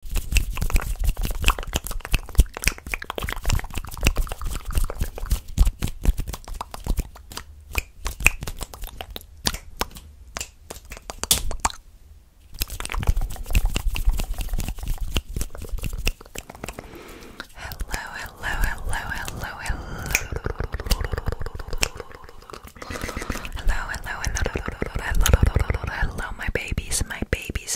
hello, hello, hello, hello. Hello, hello, hello, hello, hello, hello, my babies, my babies.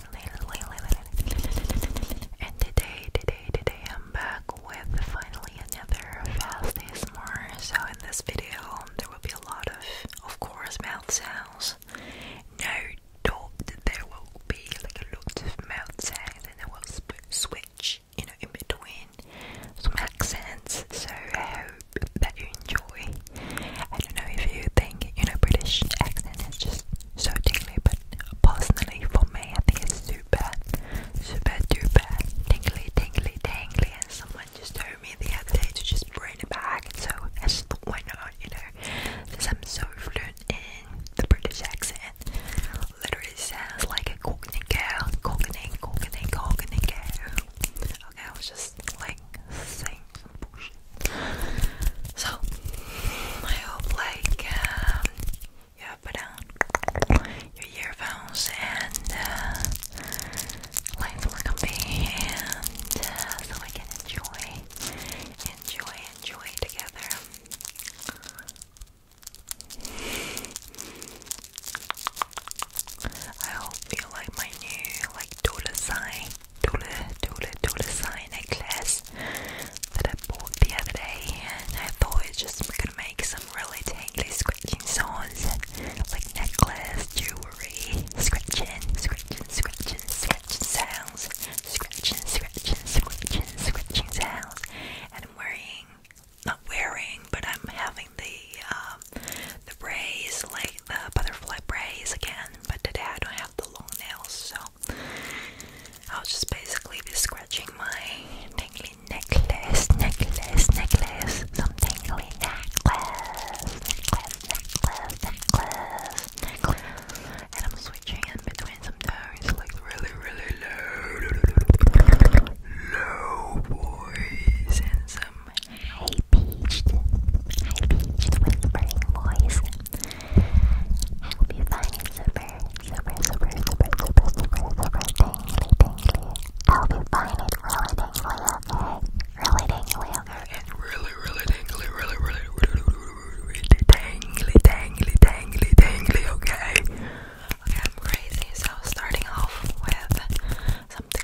And today, today, today, I'm back with finally another fast more. So in this video, there will be a lot of, of course, mouth sounds. No doubt that there will be like a lot of mouth sounds, and I will switch, you know, in between some accents. So I hope that you enjoy. I don't know if you think, you know, British accent is just so tingly, but personally for me, I think it's super, super duper tingly, tingly, tingly. And someone just told me the other day to just bring it back, so I just thought, why not, you know? Since I'm so fluent in the British accent, literally sounds like a Cockney girl, Cockney, Cockney, Cockney girl. Okay, I was just like saying some bullshit. So, my whole like like uh, put on your earphones and uh, lights were comfy and uh, so we can enjoy, enjoy, enjoy together. I hope you like my new like dollar sign, dollar, dollar, dollar sign necklace this that I bought the other day, and I thought it's just we're gonna make some really tingly scratching sounds, like necklace, jewelry, scratching, scratching, scratching, scratching sounds, scratching, scratching, scratching, scratching sounds, and I'm wearing, not wearing, but I'm having the um, the braids, like the butterfly braids again, but today I don't have the long nails, so I'll just basically be scratching my tingly necklace, necklace, necklace, some tingly necklace, necklace, necklace, necklace, And I'm switching between some tones, like really, really low, low boys, and some high pitched, high pitched whispering boys. Hope you find it super, super, super, super, super, super, super tingly, tingly. I hope you find it really tingly, okay? Really tingly, okay? Really, really tingly, really, really, really, really tingly, tingly, tingly, tingly, okay? Okay, I'm crazy, so starting off with something.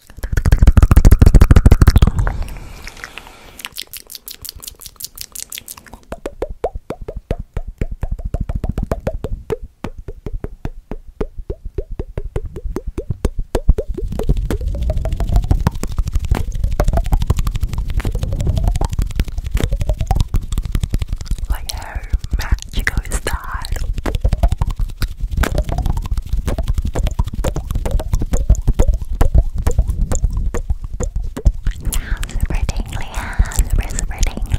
Like how magical is that? super tingly, yeah, super, super tingly.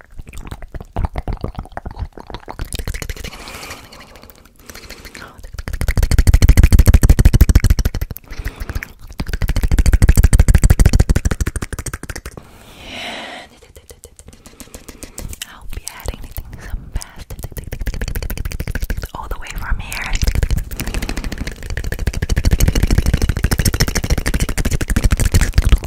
I'll be adding some fast all the way from here.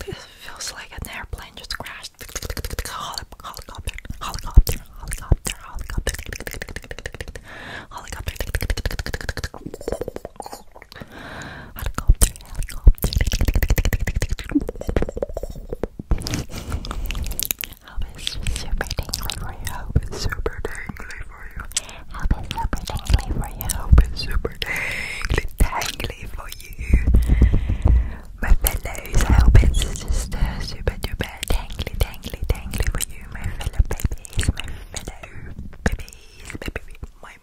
Feels like an airplane just crashed. Helicopter, helicopter, helicopter, helicopter, helicopter. Helicopter, helicopter. Hope super tingly for you. Hope it's super tingly for you. Hope it's super tingly for you. Hope it's super tingly, tingly for you. My fellows, I hope it's just uh, super duper tingly, tingly, tingly for you. My fellow babies, my fellow babies, baby, my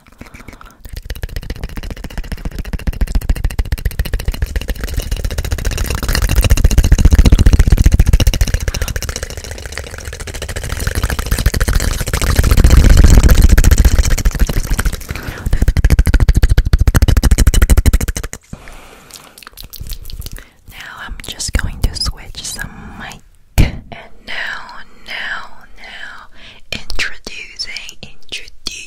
Now I'm just going to switch some mic. And now, now, now, introducing, introducing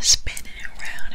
Spinning around.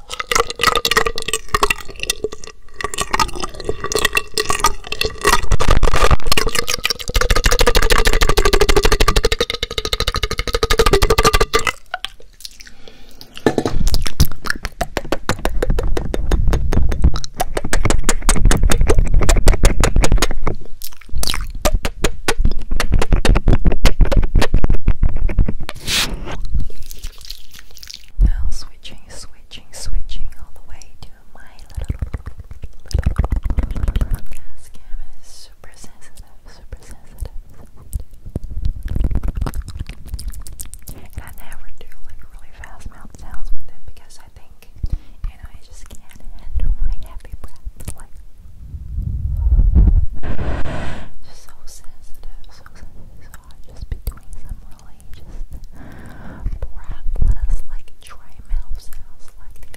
Now switching, switching switching, switching all the way to my little, little gas cam super sensitive, super sensitive. I never do like really fast mouth sounds with it because I think, you know, I just can't handle my so sensitive, so sensitive. So I'll just be doing some really just breathless, like dry mouth sounds like let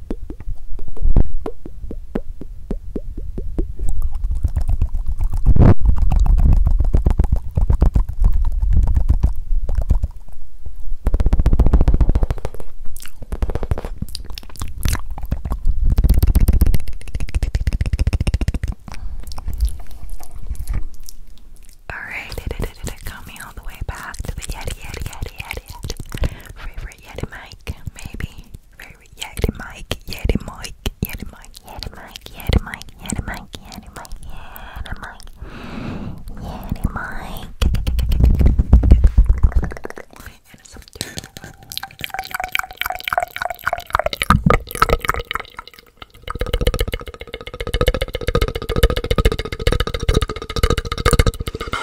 Alright, did all the way back to the Yeti, Yeti, Yeti, Yeti. Favorite Yeti mic, maybe. Yeti Mike, Yeti Mike, Yeti Mike, Yeti Mike, Yeti Mike, Yeti Mike, Yeti Mike, Yeti Mike, Yeti Mike, and some dirt.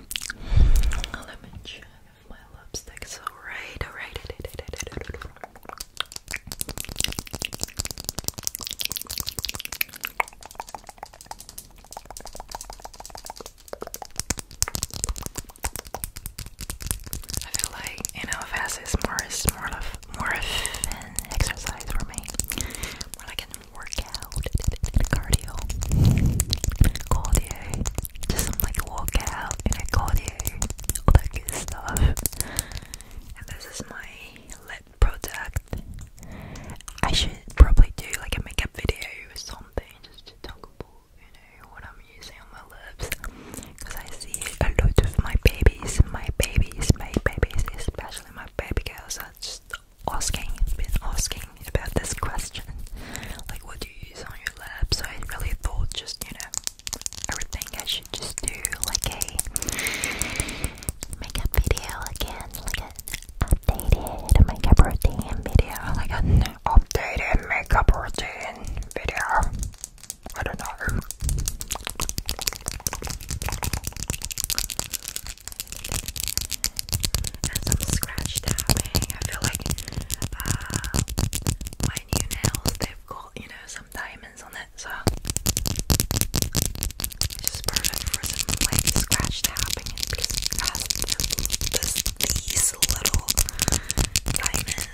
Let me check my lipstick's alright. Alright. I feel like you know, fast is more of more of an exercise for me, more like an workout, cardio, cardio, just some like workout and cardio, all that good stuff. And this is my lip product. I should probably do like a makeup video or something just to talk about, you know, what I'm using on my lips. Because I see a lot of my babies, my babies, my babies, especially my baby girls are just asking, been asking about this question, like what do you use on your lab? So I really thought, just you know, everything I should just do like a makeup video again, like a updated makeup routine video, like an updated makeup routine video. I don't know and some scratch tapping. I feel like uh, my new nails, they've got, you know, some diamonds on it, so just perfect for some like scratch tapping because these little diamonds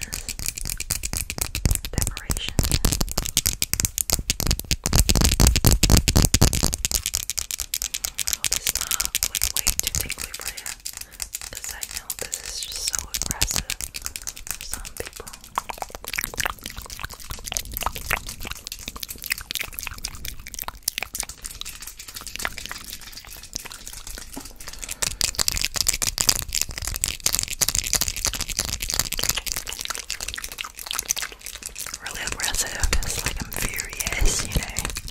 decoration. I hope not like way too tingly for you. know this is just so aggressive for some Really aggressive, it's like I'm furious, you know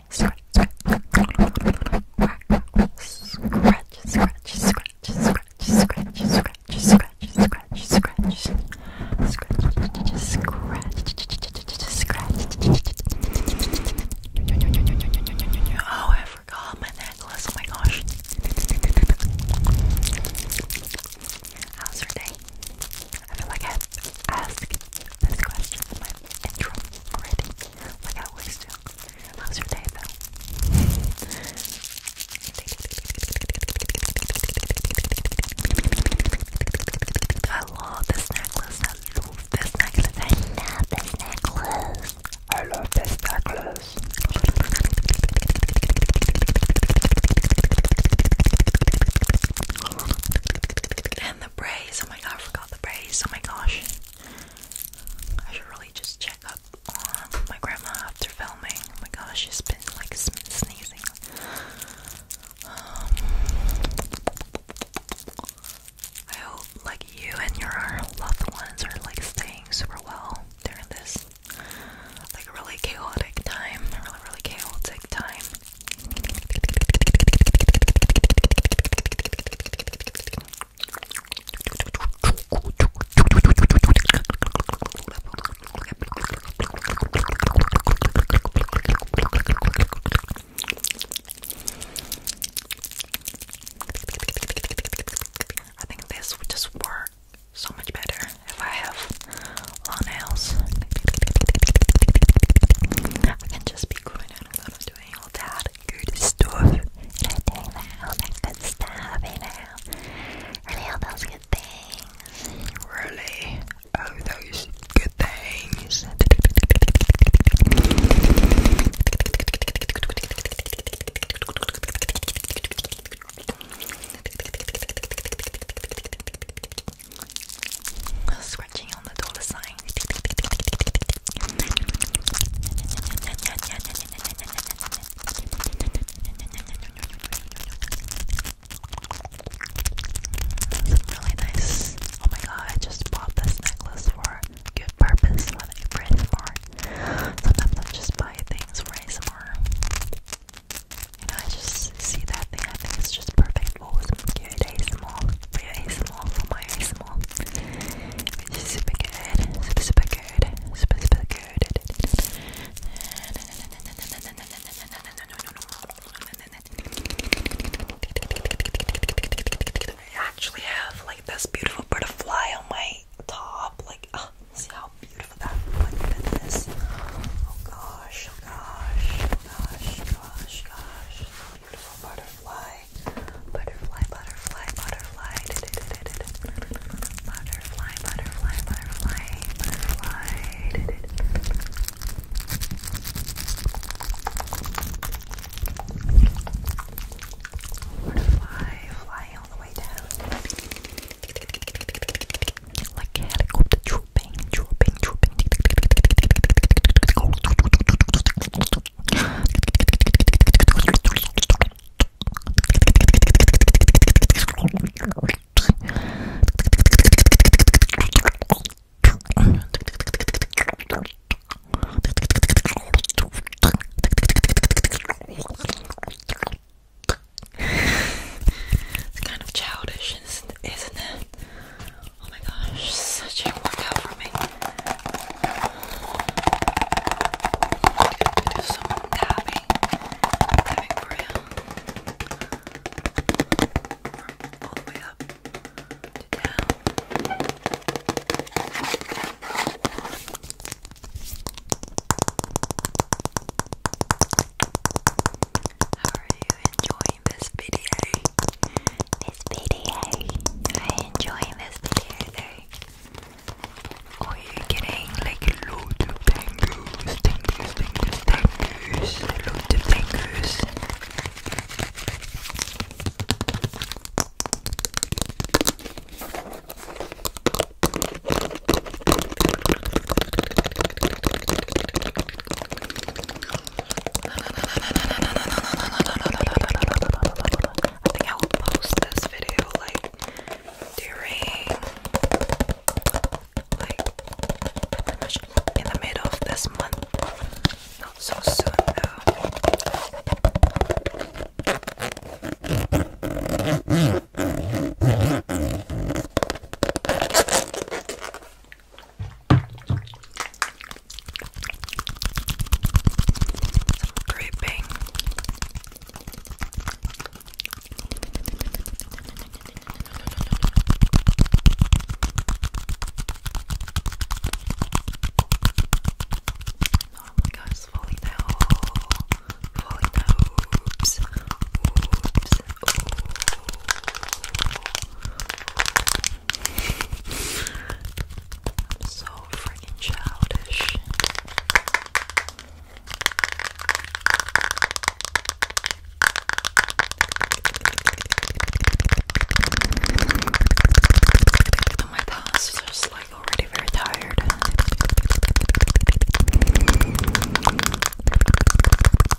scratch, scratch, scratch, scratch, scratch, scratch, scratch, scratch, scratch, scratch, scratch, scratch, scratch. Oh, I forgot my necklace. Oh my gosh. How's your day? I feel like I've asked this question in my intro already, like I always do. How's your day, though? I love this necklace. I love this necklace. I love this necklace. I love this necklace. And the braids. Oh my god, I forgot the braids. Oh my gosh. I should really just check up on my grandma after filming. Oh my gosh, she's been like sneezing. Um, I hope like you and your loved ones are like staying super well during this like really chaotic time, really really chaotic time. I think this would just work so much better if I have long nails. I can just be going out and doing all that good stuff, and all that good stuff, really all those good things, really all oh, those good things. Scratching on Really nice. Oh my god, I just bought this necklace for good purpose for ASMR. Sometimes I just buy things for ASMR. You know, I just see that thing, I think it's just perfect for some cute ASMR. For your for my ASMR super good, super, super good, super, super good. I actually have like this beautiful butterfly on my top. Like, oh, see how beautiful that one is. Oh gosh, oh gosh, oh gosh, gosh, gosh beautiful butterfly. Butterfly, butterfly, butterfly. Butterfly, butterfly, butterfly, butterfly. Butterfly, flying all the way down. Like a helicopter drooping, drooping, drooping. It's kind of childish, isn't it? Oh my gosh, such a workout for me do some tapping, tapping for real. From all the way up down. How are you enjoying this video? this video. I you enjoying this video Are you getting like a of tangles, tangles, tangles, tangles, a of tangles? I think I will post this video like during like in the middle of this month. Not so soon though. Some creeping. Oh my gosh, falling down. Falling down. Oops. Oops. Oops. I'm so freaking childish. My palms are just like already very tired.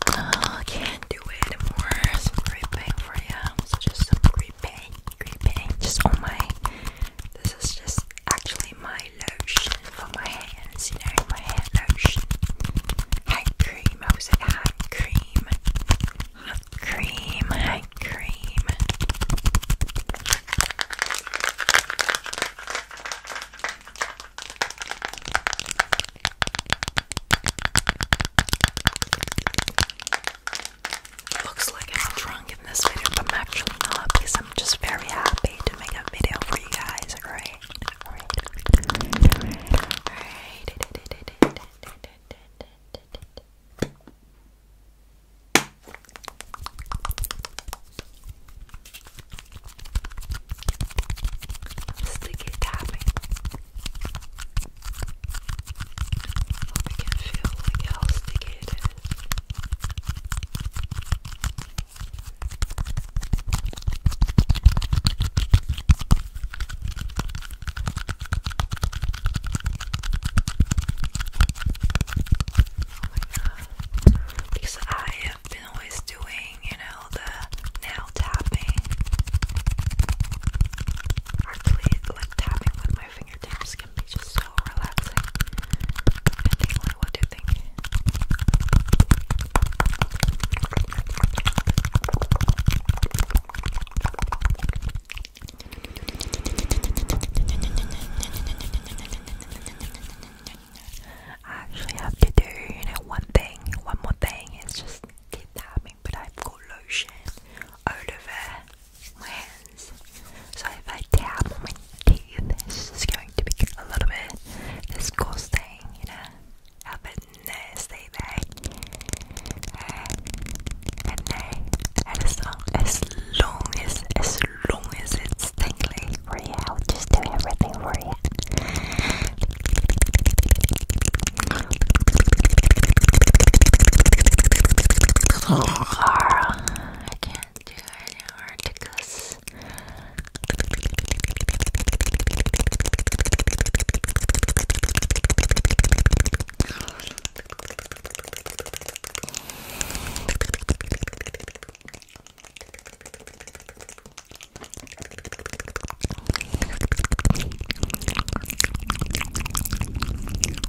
I uh, can't do it anymore. It's gripping for It's just some gripping green paint on my. This is just actually my lotion for my hands, you know, my hair lotion. Hand cream, I was at hand cream. Hand cream, hand cream. Looks like I'm drunk in this video, but I'm actually not because I'm just very happy to make a video for you guys, alright? Alright. Alright. Sticky tapping. Hope can feel like how sticky it is. Oh my god. Because I have been always doing, you know, the nail tapping. Actually, like tapping with my fingertips can be just so relaxing What do you think? I actually have to do, you know, one thing, one more thing. It's just keep tapping, but I've got lotion, eau my hands. So if I tap on my teeth, it's just going to be a little bit disgusting, you know, a bit nasty there. Uh, and then, and as long, as long as, as long as it's tingly for you, I'll just do everything for you. I can't do any articles.